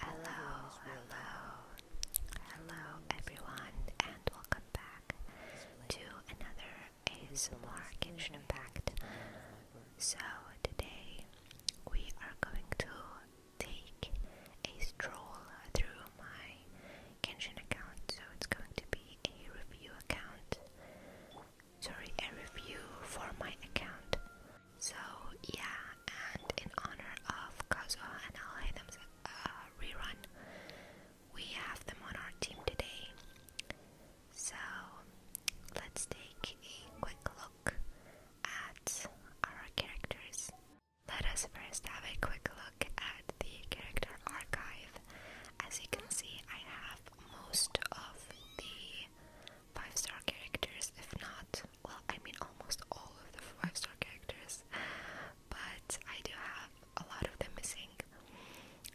Hello, hello, hello everyone, and welcome back to another ASMR Kitchen Impact. So, today we are going to take a stroll through my Genshin account, so it's going to be a review account. Sorry, a review for my account. So yeah, and in honor of Kazuha and Al Haytham's uh, rerun, we have them on our team today. So let's take a quick look at our characters. Let us first have a quick look at the character archive. As you can see, I have most of the five star characters, if not, well, I mean almost all of the five star characters, but I do have a lot of them missing.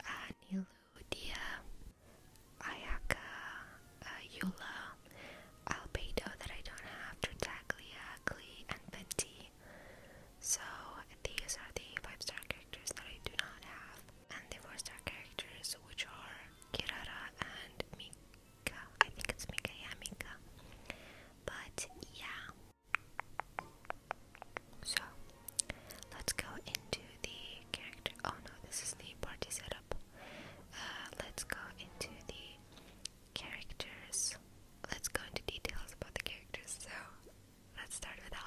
Uh, Nilu, Dia, Ayaka, uh, Yula, Albedo that I don't have, Tartaglia, Glee, and Venti. So these are the five star characters that I do not have, and the four star characters, which are Kirara and Mi I think it's Mika, yeah, Mika. But yeah. So let's go into the character. Oh no, this is the party setup. Uh, let's go into the characters. Let's go into details about the characters. So let's start with the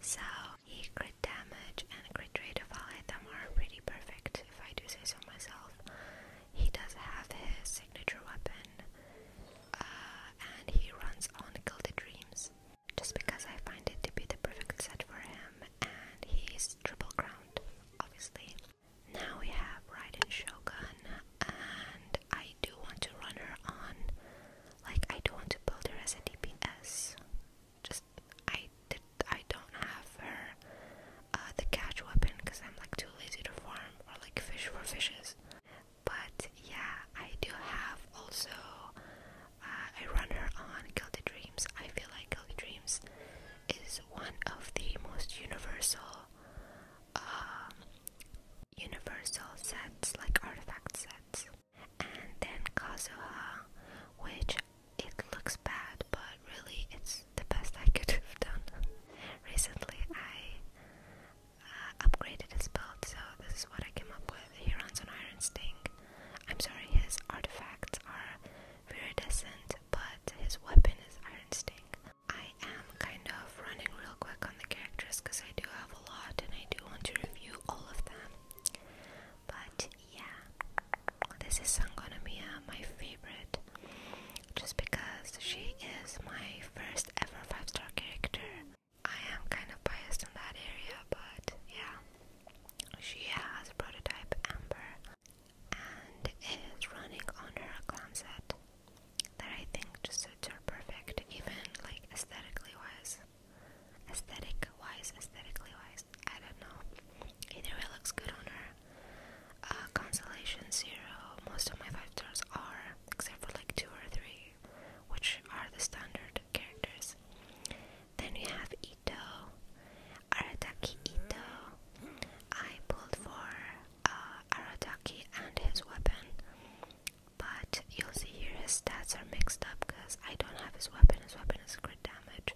So the crit damage and crit rate of all are pretty perfect if I do say so myself, he does have his signature weapon, uh, and he runs on Gilded Dreams. Just because I find it to be the perfect set for him, and he's triple crowned, obviously. Now we have Raiden Shogun, and I do want to run her on, like I do want to build her as a DPS just I did I don't have her uh, the catch weapon because I'm like too lazy to farm or like fish for fishes. But yeah, I do have also. Uh, I run her on Guilty Dreams. I feel like Guilty Dreams is one of the most universal, um, universal sets like artifact sets. And then Kazuha, which it looks bad, but really it's the best I could have done. Recently I uh, upgraded his belt, so this is what I came up with. He runs on Iron Sting. I'm sorry, his artifacts are viridescent, but his weapon is Iron Sting. I am kind of running real quick on the characters because I do have a lot and I do want to review all of them. But yeah, this is Sangonomiya, uh, my favorite, just because she is my first ever five star character. I am kind of biased in that area, but yeah, she has a prototype Amber, and it is running on her clan set that I think just suits her perfect, even like aesthetically wise. Aesthetic wise, aesthetically wise, I don't know. Either way looks good on her. Uh, zero. Most of my five stars are, except for like two or three, which are the standard characters. Then we have Ito, Arataki Ito. I pulled for uh, Arataki and his weapon, but you'll see here his stats are mixed up because I don't have his weapon. His weapon is crit damage.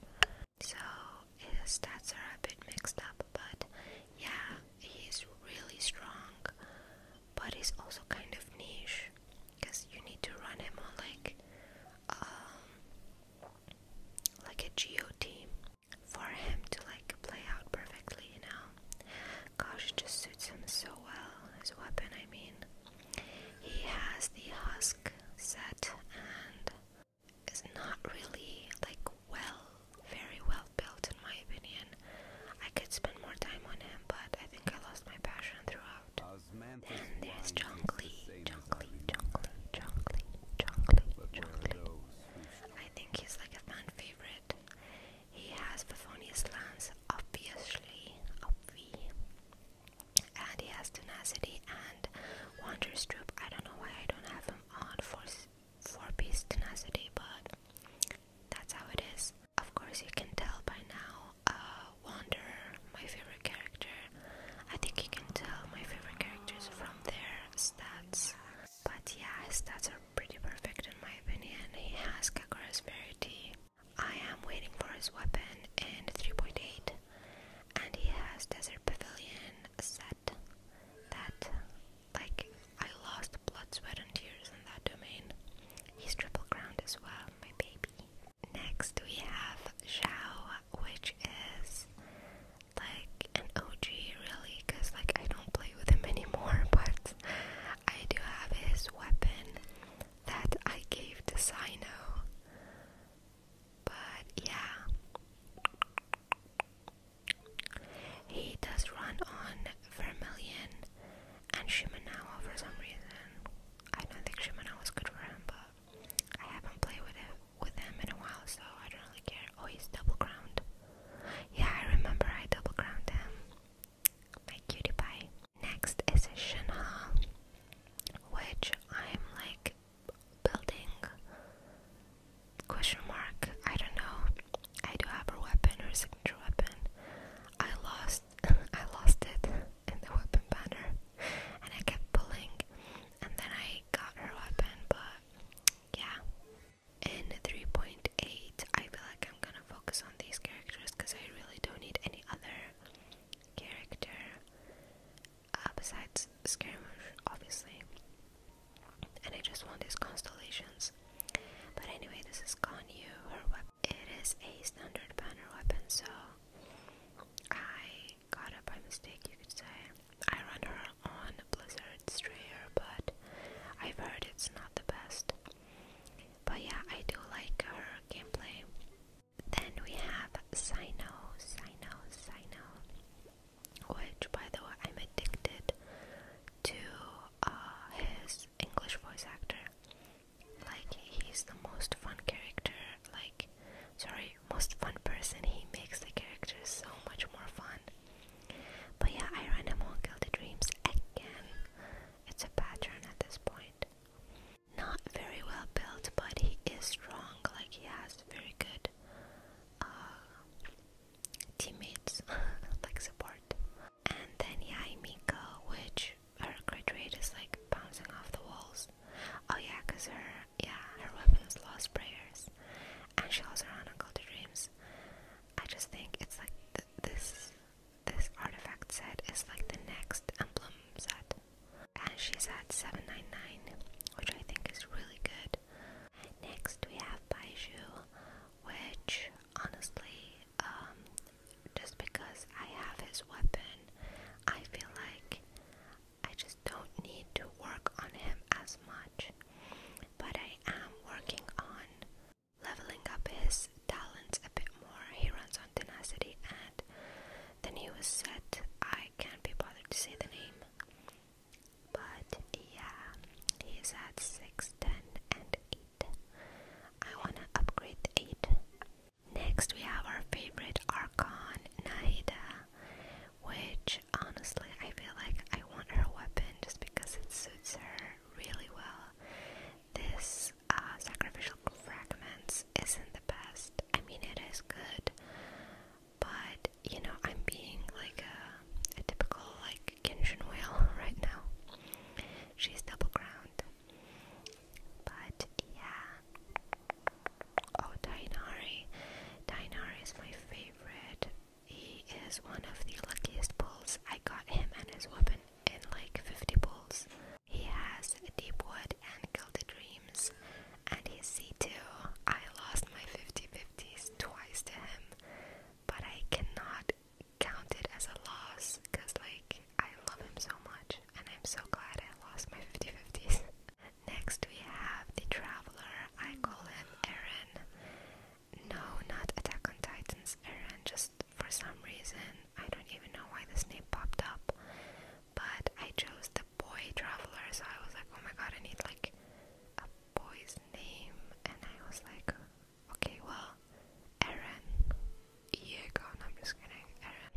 So his stats are a bit mixed up, but yeah, he's really strong, but he's also kind of niche because you need to run him on like um like a geo team for him to like play out perfectly, you know. Gosh, it just suits him so well. His weapon, I mean. He has the husk set and is not really like well, very well built in my opinion. I could spend more time on him, but I think I lost my passion throughout. And there's Junglee, Junglee, Junglee, Junglee, Junglee, Junglee. I think he's like a fan favorite. He has the Bavonius Lance, obviously, Obviously and he has tenacity and Wander's troop. I don't know why I don't have him on for four piece tenacity, but that's how it is. Of course, you can tell by now. Uh, Wander, my favorite character. I think you can tell my favorite characters from their stats. But yeah, stats are pretty perfect in my opinion. He has Kakura's Verity. I am waiting for his weapon and 3.8 and he has Desert Pavilion set that like I lost blood, sweat and tears in that domain. He's triple crowned as well, my baby. Next we have Xiao, which is like an OG really, cause like I don't play with him anymore, but I do have his weapon that I gave to Sino. But yeah, he does run on Vermilion and Shimanawa for some reason. I don't think Shimanawa was good for him, but I haven't played with it with him in a while, so I don't really care. Oh, double ground. Yeah, I remember I double ground him. My cutie pie. Next is Shinha, which I'm like building? Question mark. I don't know. I do have her weapon, her signature weapon. I lost, I lost it in the weapon banner, and I kept pulling, and then I got her weapon. But yeah, in 3.8, I feel like I'm gonna focus on these characters because I really don't need any other character. Uh, besides skirmish, obviously. And I just want these constellations. But anyway, this is Ganyu, her weapon. It is a standard banner weapon, so I got it by mistake, you could say. I run her on Blizzard Strayer, but I've heard it's not the best. But yeah, I do like her gameplay. Then we have Sino, Sino, Sino, which, by the way, I'm addicted to uh, his English voice actor. Like, he's the most fun character, like, sorry, most fun person. He makes the character so much more fun. But yeah, I ran among Guilty Dreams again. It's a pattern at this point not very well built, but he is strong. Like he has very good uh, teammates, like support. And then yeah, Mika, which her crit rate is like bouncing off the walls. Oh yeah, cause her yeah her weapons lost prayers, and she also ran Uncle to Dreams. I just think it's like this this artifact set is like the next emblem set and she's at 799 which I think is really good. Next we have Baiju, which honestly, um, just because I have his weapon, I feel like I just don't need to work on him as much. But I am working on leveling up his talents a bit more. He runs on um, tenacity and then he was set. I can't be bothered to say the name. But yeah, he is at 6, 10, and 8. I wanna upgrade 8. Next, we have our favorite Archon, Naida, which honestly I feel like I want her weapon just because it suits her really well. This uh, sacrificial fragments isn't the best. I mean, it is good, but you know, I'm being like a, typical like Genshin whale right now. She's double ground, but yeah. Oh, Dainari. Dainari is my favorite. He is one of the luckiest bulls I got him and his weapon in like 50 bulls. He has Deep Wood and Gilded Dreams, and his c too. I lost my 50 50s twice to him, but I cannot count it as a loss because, like, I love him so much, and I'm so glad I lost my 50 50s. Next, we have the Traveler. I call him Eren. No, not Attack on Titans, Eren, just for some reason. I don't even know why this name popped up, but I chose the boy traveler, so I was like, oh my god, I need like a boy's name, and I was like, okay, well, Aaron, you're I'm just kidding, to Aaron.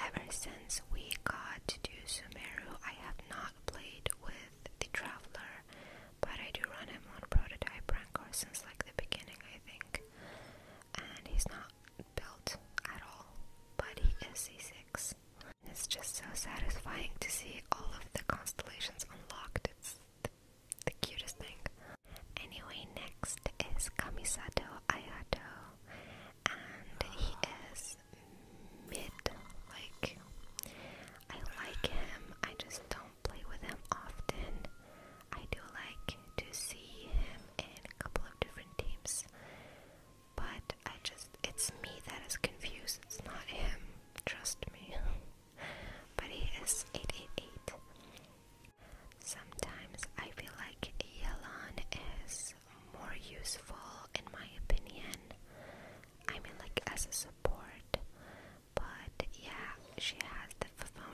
Ever since we got to Sumeru, I have not played with the traveler, but I do run him on prototype rancor since like the beginning, I think, and he's not built at all, but he is a 6. It's just so satisfying to see all of the constellations unlocked. It's the cutest thing. Anyway, next is Kamisato Ayato, and he is mid. Like, I like him, I just don't play with him often. I do like to see him in a couple of different teams. But I just, it's me that is confused, it's not him, trust me. but he is 888. Sometimes I feel like Yelan is more useful in my opinion. I mean, like as a support, but yeah, she has the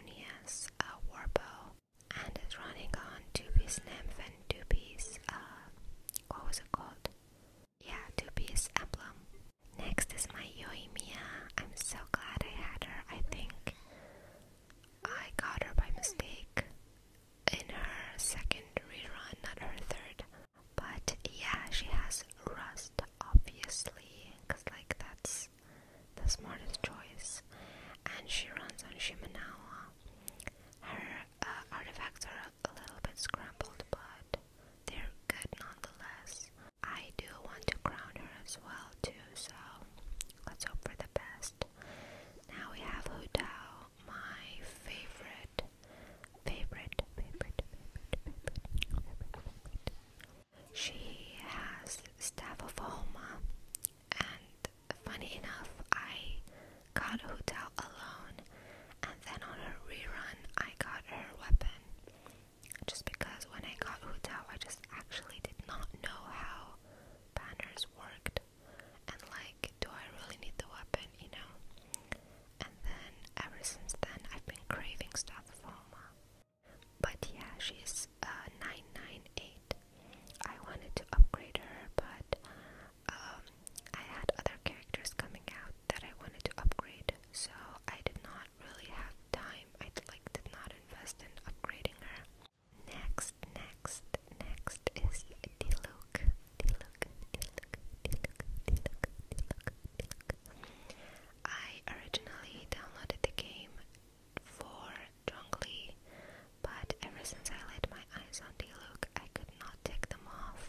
a uh, war bow and it's running on 2B's nymph and 2B's, uh, what was it called? Yeah, 2B's emblem. Next is my Yoimiya. I'm so glad I had her. I think I got her by mistake in her second rerun, not her third. But yeah, she has rust, obviously, like, that's the smartest choice, and she runs on Shimanawa. Her uh, artifacts are a little bit scrambled, but they're good nonetheless. I do want to crown her as well too, so let's hope for the best. Now we have Houdao, my favorite, favorite, favorite, favorite, favorite, favorite. favorite. She has Staff of Homa, and funny enough, I got Hotel alone, and then on a rerun, I got her weapon. Just because when I got Hotel, I just actually did not know how banners worked, and like, do I really need the weapon, you know? And then ever since then, I've been craving stuff for her. But yeah, she's uh, 998. I wanted to upgrade her, but um, I had other characters coming out that I wanted to upgrade, so I did not really have time. I like did not invest in upgrading her. Next, next, next is Diluc. Diluc, Diluc, Diluc, Diluc, Diluc, Diluc. I originally downloaded the game for Zhongli, but ever since I laid my eyes on Diluc, I could not take them off.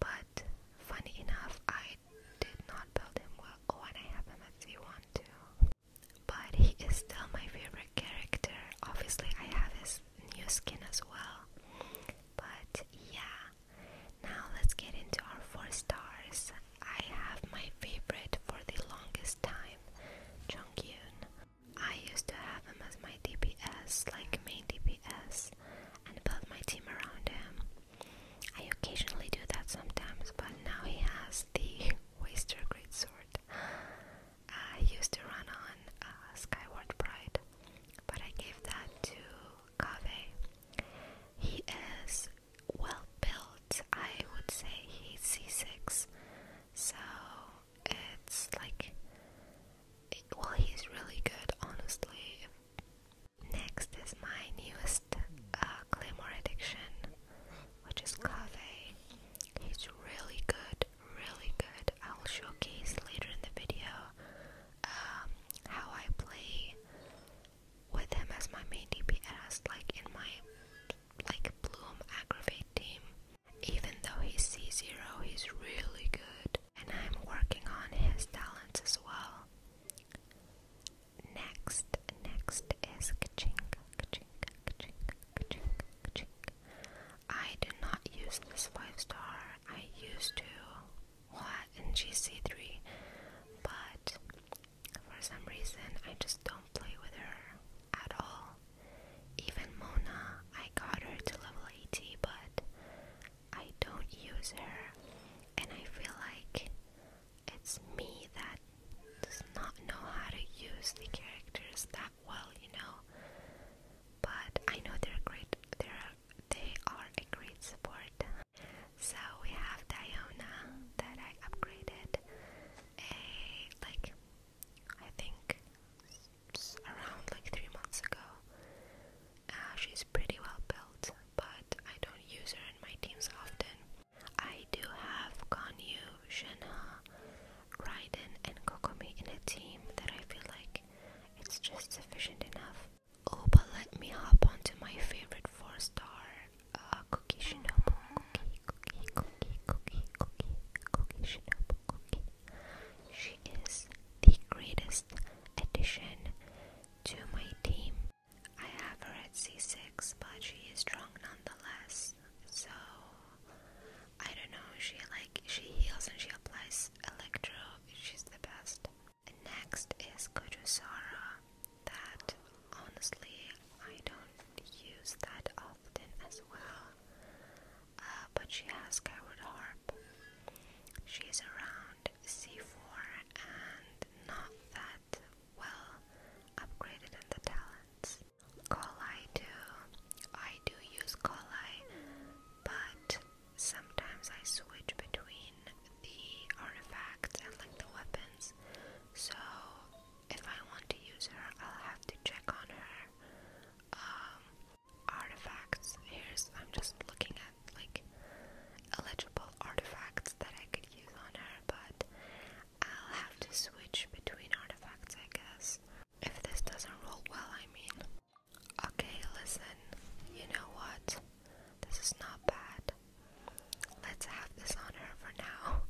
But funny enough, I did not build him well. Oh, I have him at one too. But he is still my favorite character. Obviously, I have his new skin as well. But yeah, now let's get into our four stars. I have my favorite for the longest time, Jonghyun. I used to have him as my DPS, like main DPS, and build my team around him. I occasionally do that sometimes, but now he has the Waster Greatsword. I used to run on uh, Skyward Pride, but I gave that to Kave. He is well built I would say he's C6, so it's like well he's really good honestly. Next is my newest uh, Claymore addiction, which is Kaveh. He's really good, really good. I'll showcase later in the video um, how I play with him as my main DPS, like in my like Bloom aggravate team. Even though he's C0, he's really good, and I'm working on his talents as well. Next, next is Kachink, Kachink, Kachink, Kachink, Kachink. I do not use this 5 star, I used to, what, in GC3, but for some reason, I just don't play with her at all. Even Mona, I got her to level 80, but I don't use her, and I feel like it's me that does not know how to use the characters that well, you know. But I know they're great. They're a great support. So we have Diana that I upgraded a like I think around like three months ago. Uh, she's pretty well built, but I don't use her in my teams often. I do have Ganyu, Shenhe, Raiden, and Kokomi in a team that I feel like it's just sufficient enough. Oh, but let me hop onto my favorite four star Cookie Shinobu, Cookie, Cookie, Cookie, Cookie, Cookie, Cookie Shinobu, Cookie. She is the greatest addition to my team. I have her at C6, but she is strong nonetheless. So I don't know. She like she heals and she applies electro. She's the best. Next is Kojusara that honestly I don't use that often as well. Uh, but she has covered harp. She's around C4 and not that well upgraded in the talents. Call I do. I do use Collie, but sometimes I switch between the artifacts and like the weapons. So if I want to use her, I'll have to check on her um, artifacts. Here's I'm just looking at like eligible artifacts that I could use on her, but I'll have to switch between artifacts, I guess. If this doesn't roll well, I mean. Okay, listen. You know what? This is not bad. Let's have this on her for now.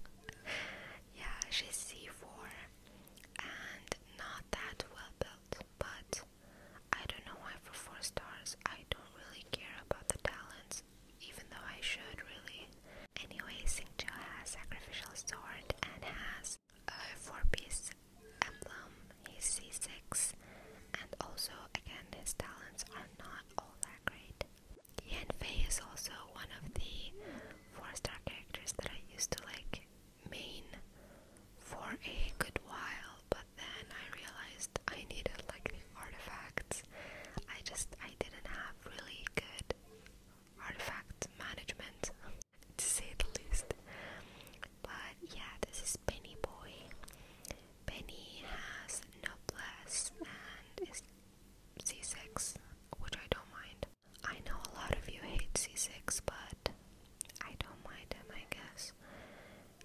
yeah, she's C4 and not that well built, but I don't know why for 4 stars I don't really care about the talents, even though I should really. Anyway, Singjo has Sacrificial Sword and has a 4 piece emblem, he's C6, and also again his talents are not all that great. Yanfei is also one of the four-star characters that I used to like main for a good while, but then I realized I needed like the artifacts. I just I didn't have really good artifact management to say the least. But yeah, this is Penny Boy. Penny has noblesse and is C6, which I don't mind. I know a lot of you hate C6, but I don't mind him, I guess.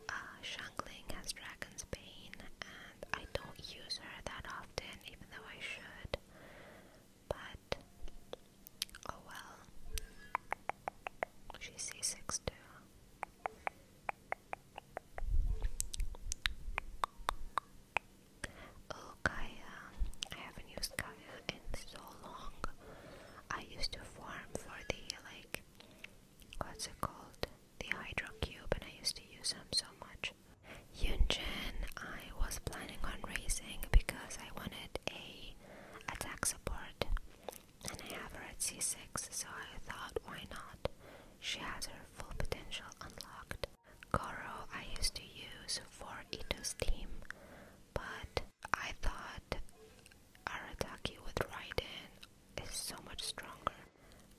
Uh, Shangling has Dragon's Bane, and I don't use her that often, even though I should. But, oh well. She's C6 too. Oh, Kaya. I haven't used Kaya in so long. I used to farm for the, like, what's it called? The Hydro Cube, and I used to use them so much. Yunjin, I was planning on raising because I wanted a attack support, and I have her at C6, so I thought, why not? She has her full potential unlocked. Goro I used to use for Ito's team, but I thought Arataki with Raiden is so much stronger.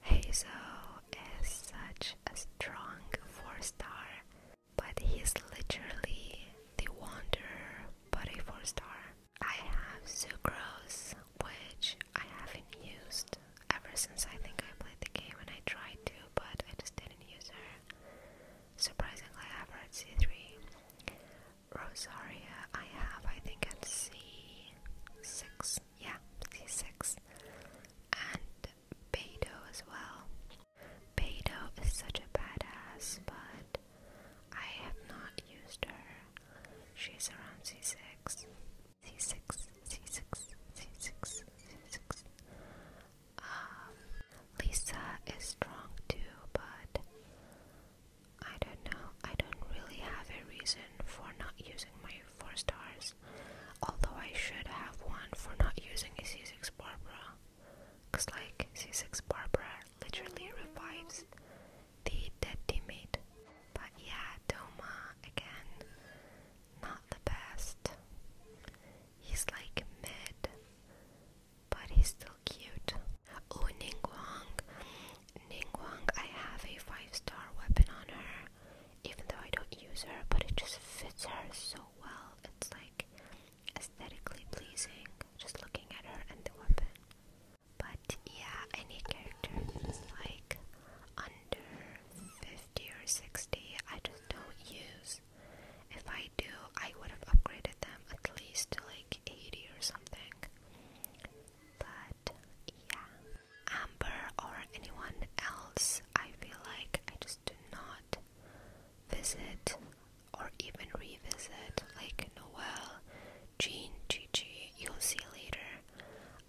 Hazel is such a strong 4-star, but he's literally the wonder, but a 4-star. I have Sucrose, which I haven't used ever since I think I played the game and I tried to, but I just didn't use her. Surprisingly, I have at C3. Rosaria, I have, I think, at C6. Yeah, C6. And Beto as well. Beto is such a badass, but I have not used her. She's around C6. C6, C6, C6, C6. Um, Lisa is strong too, but I don't know. I don't really have a reason for not using my 4 stars. Although I should have one for not using a C6 Barbara. Because, like, C6 Barbara literally revives the dead teammate. But yeah, Doma again not the best. He's like mid, but he's still cute. Oh, Ningguang. Ningguang, I have a five-star weapon on her, even though I don't use her, but it just fits her so well. It's like aesthetically pleasing, just looking at her and the weapon. But yeah, any character like under 50 or 60. I just don't use. If I do, I would have upgraded them at least to like 80 or something. But yeah. Amber or anyone else, I feel like I just do not visit or even revisit. Like Noel, Jean, Gigi, you'll see later.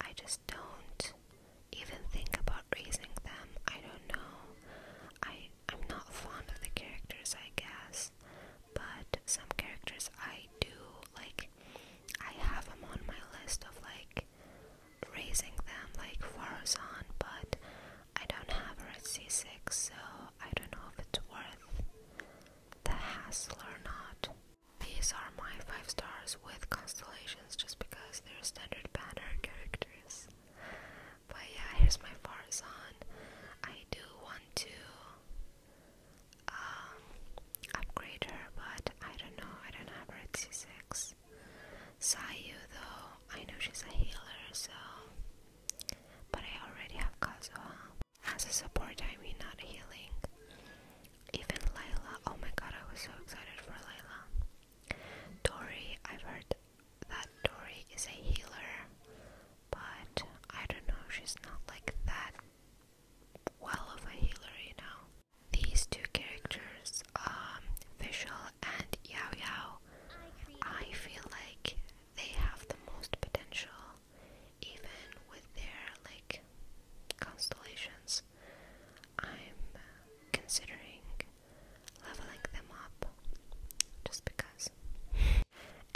I just don't even think about raising them. I don't know. I I'm not fond of the characters, I guess. But some characters I do like. I have them on my list of like raising them, like Farazan, but I don't have her at C6, so I don't know if it's worth the hassle or not. These are my 5 stars with constellations just because they're standard banner characters. But yeah, here's my Farazan. I do want to um, upgrade her, but I don't know, I don't have her at C6. Sayu though, I know she's a healer, so... But I already have Kazuha. As a support, I mean not healing. Even Layla, oh my god, I was so excited for Layla. Dory, I've heard that Dory is a healer, but I don't know, she's not like that well of a healer, you know. These two characters, um, Vishal and Yao Yao, I feel like they have the most potential, even with their like constellations. I'm considering leveling them up just because.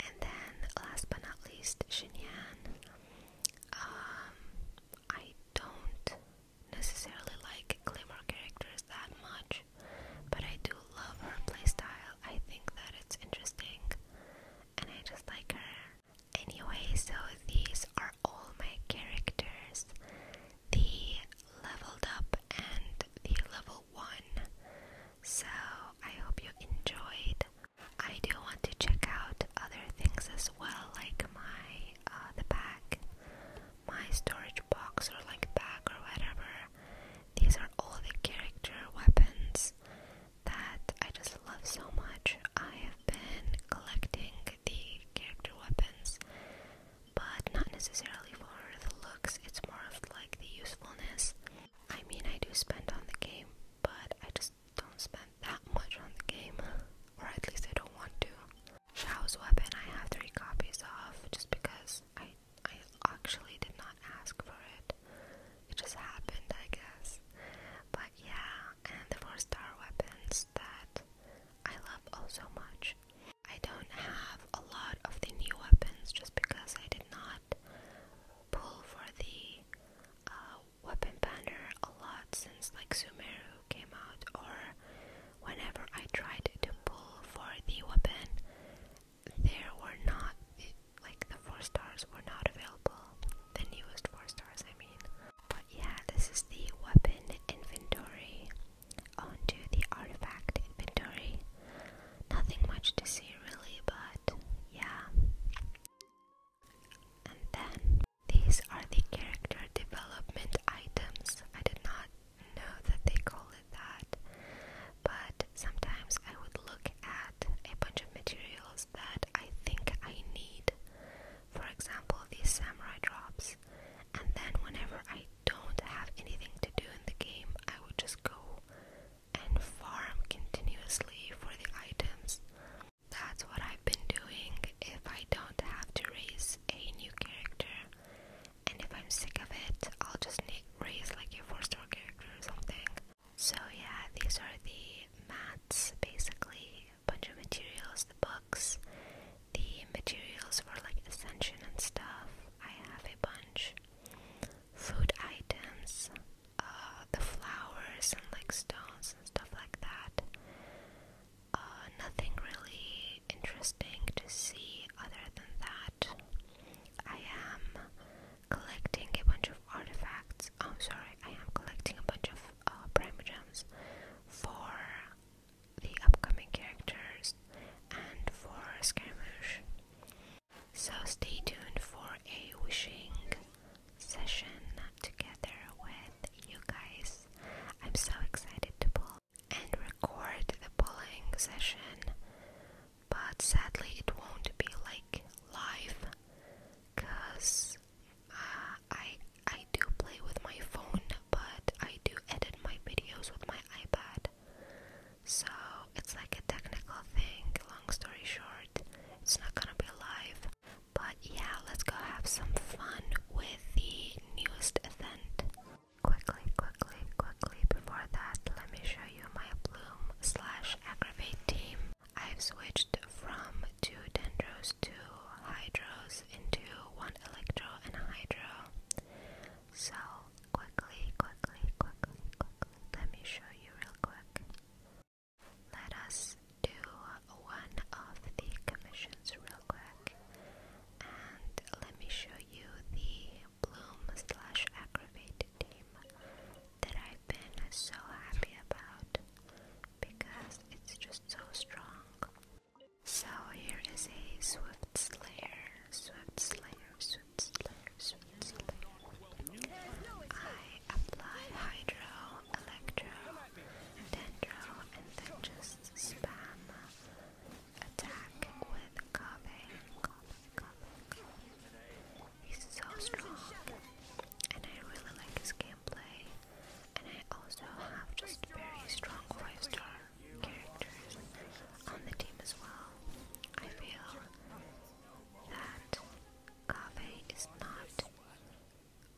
And then, last but not least, Xinyan. Um, I don't necessarily like Claymore characters that much, but I do love her playstyle. I think that it's interesting, and I just like her Anyway, so these are all my characters the leveled up and the level 1. So I hope you enjoyed. I do want to check out other things as well, like my uh, the bag, my storage box, or like bag or whatever. These are all the character weapons that I just love so much. I been collecting the character weapons, but not necessarily for the looks, it's more of like the usefulness. I mean, I do spend on the game, but I just don't spend that much on the game, or at least I don't want to. Shao's weapon I have three copies of just because I I actually did not ask for it. It just happened, I guess. But yeah, and the four star weapons that I love oh so much. I don't have a lot of the new weapons just because I did not pull for the uh, weapon banner a lot since like Sumeru came out or whenever I tried to pull for the weapon there were not like the four stars were not available the newest four stars I mean but yeah, this is the weapon inventory. Onto the artifact inventory. Nothing much to see really, but yeah. And then these are the character development items. I did not know that they call it that, but sometimes I would look at a bunch of materials that I think I need for example these samurai drops, and then whenever I don't have anything to do in the game, I would just go and farm continuously for the items. That's what I've been doing if I don't have to raise a new character, and if I'm sick of it, I'll just raise like a 4 star character or something. So, yeah, these are the mats basically bunch of materials, the books, the materials for like ascension and stuff. I have a bunch. Food items, uh, the flowers and like stones and stuff like that. Uh, nothing really interesting to see other than that. I am collecting a bunch of artifacts. Oh, I'm sorry, I am collecting a bunch of uh, gems for the upcoming characters and for skirmish. So stay tuned for a wishing session together with you guys. I'm so excited to pull and record the pulling session, but sadly it won't be like live because uh, I I do play with my phone, but I do edit my videos with my iPad. So it's like a technical thing. Long story short, it's not gonna be live. But yeah, let's go have some fun with the newest event. Quickly, quickly, quickly. Before that, let me show you my Bloom slash Aggravate team. I've switched from two dendros to hydros into one electro and hydro. So quickly, quickly, quickly, quickly, let me show you real quick. Let us do one of the commissions real quick, and let me show you the bloom slash aggravated team that I've been so happy about because it's just so strong. So here is a swift slayer, swift slayer, swift slayer, swift slayer. I apply hydro, electro, dendro, and then just spam attack with Kaveh. He's so strong, and I really like his gameplay and I also have just very strong five star characters on the team as well. I feel that Kave is not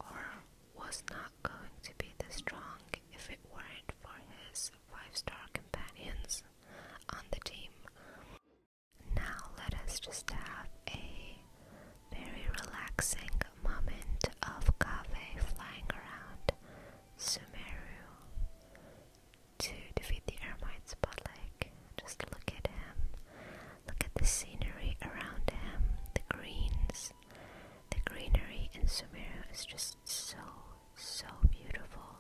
or was not going to be this strong if it weren't for his five star companions on the team. Now let us just have a very relaxing moment of cafe flying around Sumeru to defeat the Ermites, but like, just look at him. Look at the scenery around him, the greens. The greenery in Sumeru is just so, so beautiful.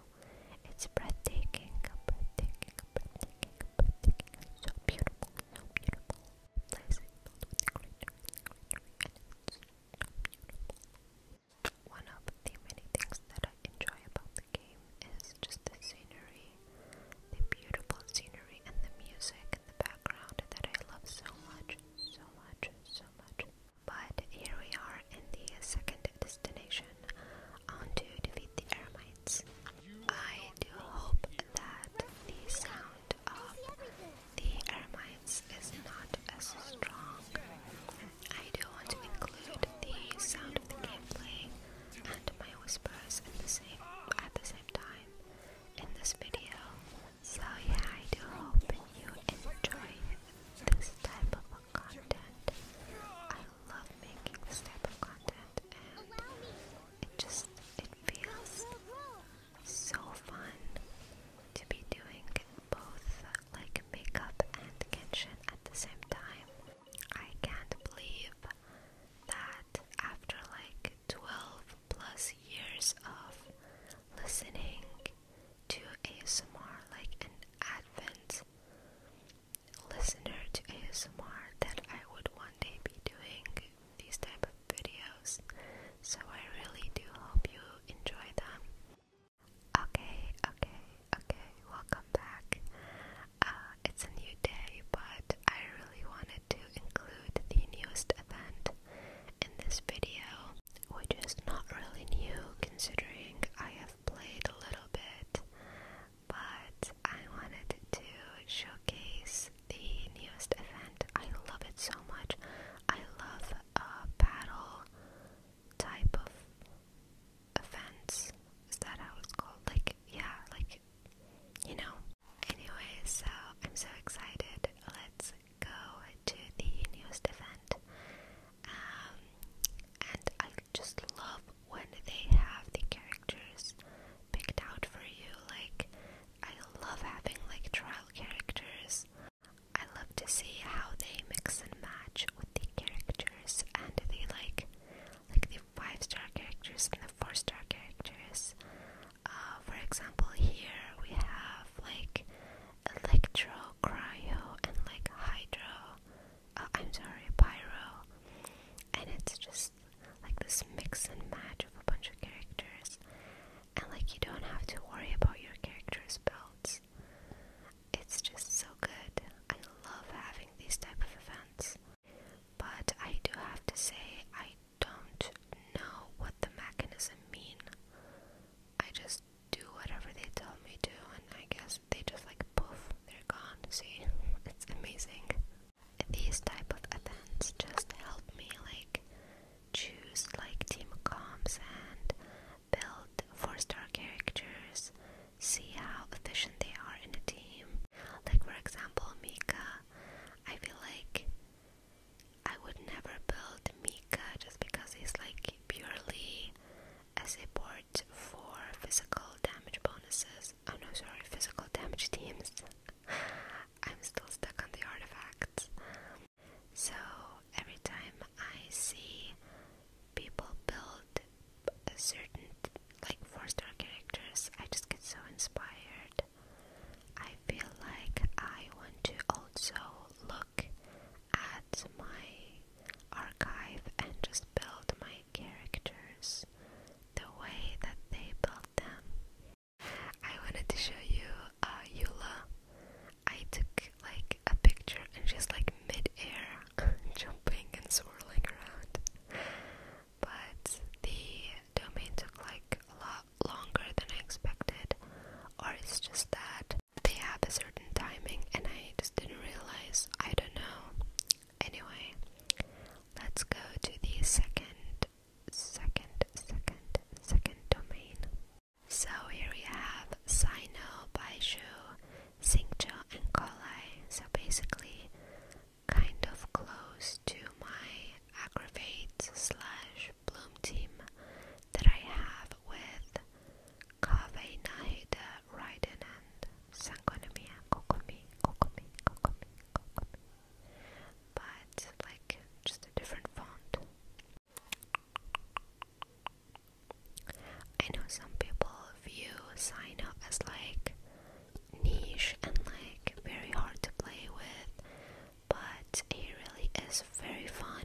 It's breathtaking, breathtaking, breathtaking, breathtaking. So beautiful, so beautiful. One of the many things that I enjoy about the game is just the scenery, the beautiful scenery, and the music in the background that I love so much, so much, so much. But here we are in the second destination, on to defeat the Eremites. I do hope that the sound of the Eremites is not as strong. I do want to include the sound of the gameplay and my whispers at the same time in this video. So yeah, I do hope you enjoy this type of content. I love making this type of content and it just it feels so fun to be doing both like makeup and kitchen at the same time. I can't believe that after like 12 plus years of listening to ASMR, like an advent listener to ASMR, that I would one day be doing these type of videos so I really do hope you enjoy them okay okay okay welcome back uh, it's a new day but I really wanted to include the newest event in this video which is not really new considering I have played a little bit but I wanted to showcase the newest event. I love it so much. I love a battle type of events. Is that how it's called? Like, yeah, like, you know. Anyway, so I'm so excited. Let's go to the newest event. Um, and I just love when they have the character characters picked out for you. Like, I love having like trial characters. I love to see how they mix and match with the characters and the like, like the five star characters and the four star characters. Uh, for example, here we have like Electro, Cryo, and like Hydro. Uh, I'm sorry, Pyro, and it's just like this mix and match of a bunch of characters, and like you don't have to worry about your characters' builds. It's just so good. I love having these type of events, but I do have to say I don't know what the mechanism mean. I just do whatever they tell me to, and I guess they just like poof, they're gone. See, it's amazing. These type of events just help me like choose like team comps and build four-star characters, see how efficient they are in a team. Like for example, Mika. I feel like I would never build Mika just because he's like purely a support for physical damage bonuses. Oh no, sorry, physical damage teams. I'm still stuck on the artifacts. So every time I see people build a certain like four star characters, I just get so inspired. I feel like I want to also look at my archive and just build my characters the way that they build I wanted to show you uh, Eula. I took like a picture and she's like mid-air jumping and swirling around. But the domain took like a lot longer than I expected, or it's just that they have a certain timing and I just didn't realize. I don't know. Anyway, let's go to the second second, second, second domain. So here we have Sino, Baishu, Xingqiu, and Kolai. So basically, kind of close to my aggravate slash bloom team that I have with Kaveh, Nahida, Raiden, and Sangonomiya, Kokomi, Kokomi, Kokomi, Kokomi, but like just a different font. I know some people view Sino as like niche and like very hard to play with, but he really is very fun,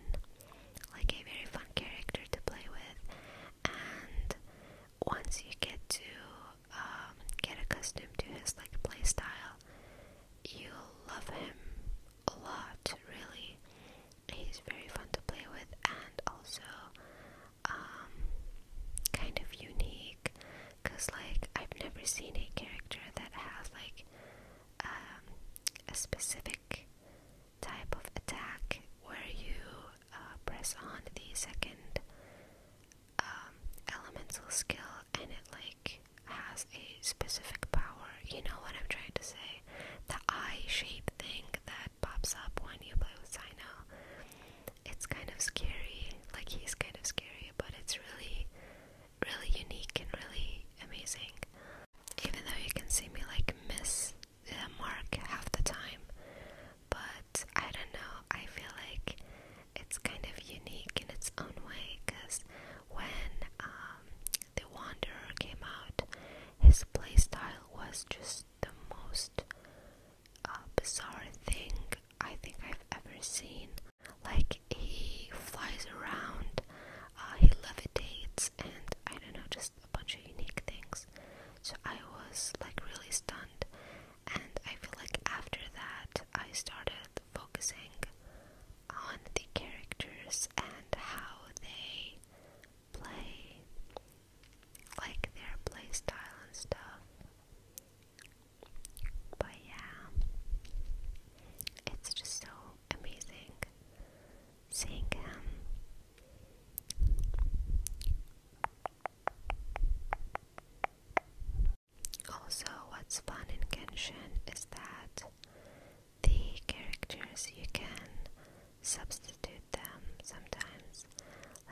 like a very fun character to play with. And once you get to um, get accustomed to his like playstyle, you'll love him a lot. Really, he's very fun to play with and also um, kind of unique. Cause like I've never seen a character that has like um, a specific type of attack where you uh, press on the second um, elemental skill and it like has a specific power. You know what I'm trying to say? The eye shape thing that pops up when you play with Sino. It's kind of scary. Like he's kind of scary, but it's really, really unique and really amazing. Even though you can see me like miss the mark half the time, but I don't know, I feel like it's kind of unique in its own way because when um, The Wanderer came out, his playstyle was just the most uh, bizarre thing I think I've ever seen. Like, he flies around, uh, he levitates, and I don't know, just a bunch of unique things. So I was like really stunned and I feel like after that I started focusing on the characters and how they play, like their play style and stuff. But yeah, it's just so amazing seeing him. Also, what's fun in Genshin is that the characters you can substitute them sometimes.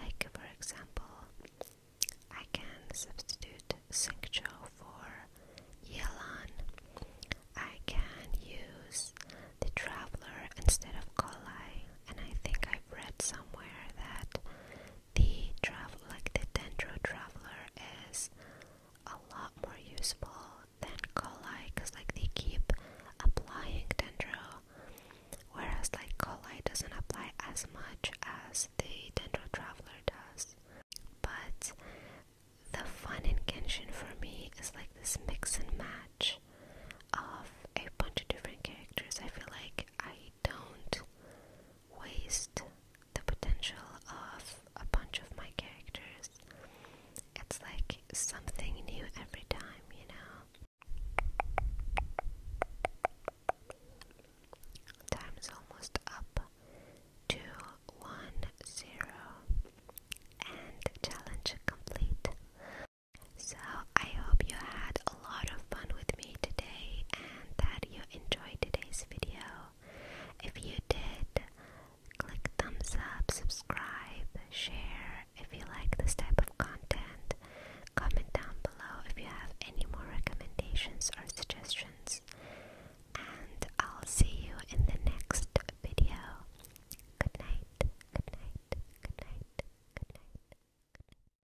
Like, for example, I can substitute Singcho for Yelan. I can use the Traveler instead of Kolai, and I think I've read somewhere that the travel like the dendro traveler is a lot more useful than Colli because like they keep applying dendro whereas like Colli doesn't apply as much as the dendro traveler does but the fun in Genshin for me is like this mix and match of a bunch of different characters I feel like I don't waste the potential of a bunch of my characters. It's like something new every time, you know? Time almost up to and challenge complete. So, I hope you had a lot of fun with me today and that you enjoyed today's video. If you did, click thumbs up, subscribe, share if you like this type of content. Comment down below if you have any more recommendations or suggestions. And I'll see you in the next video. Good night, good night, good night, good night. Good night.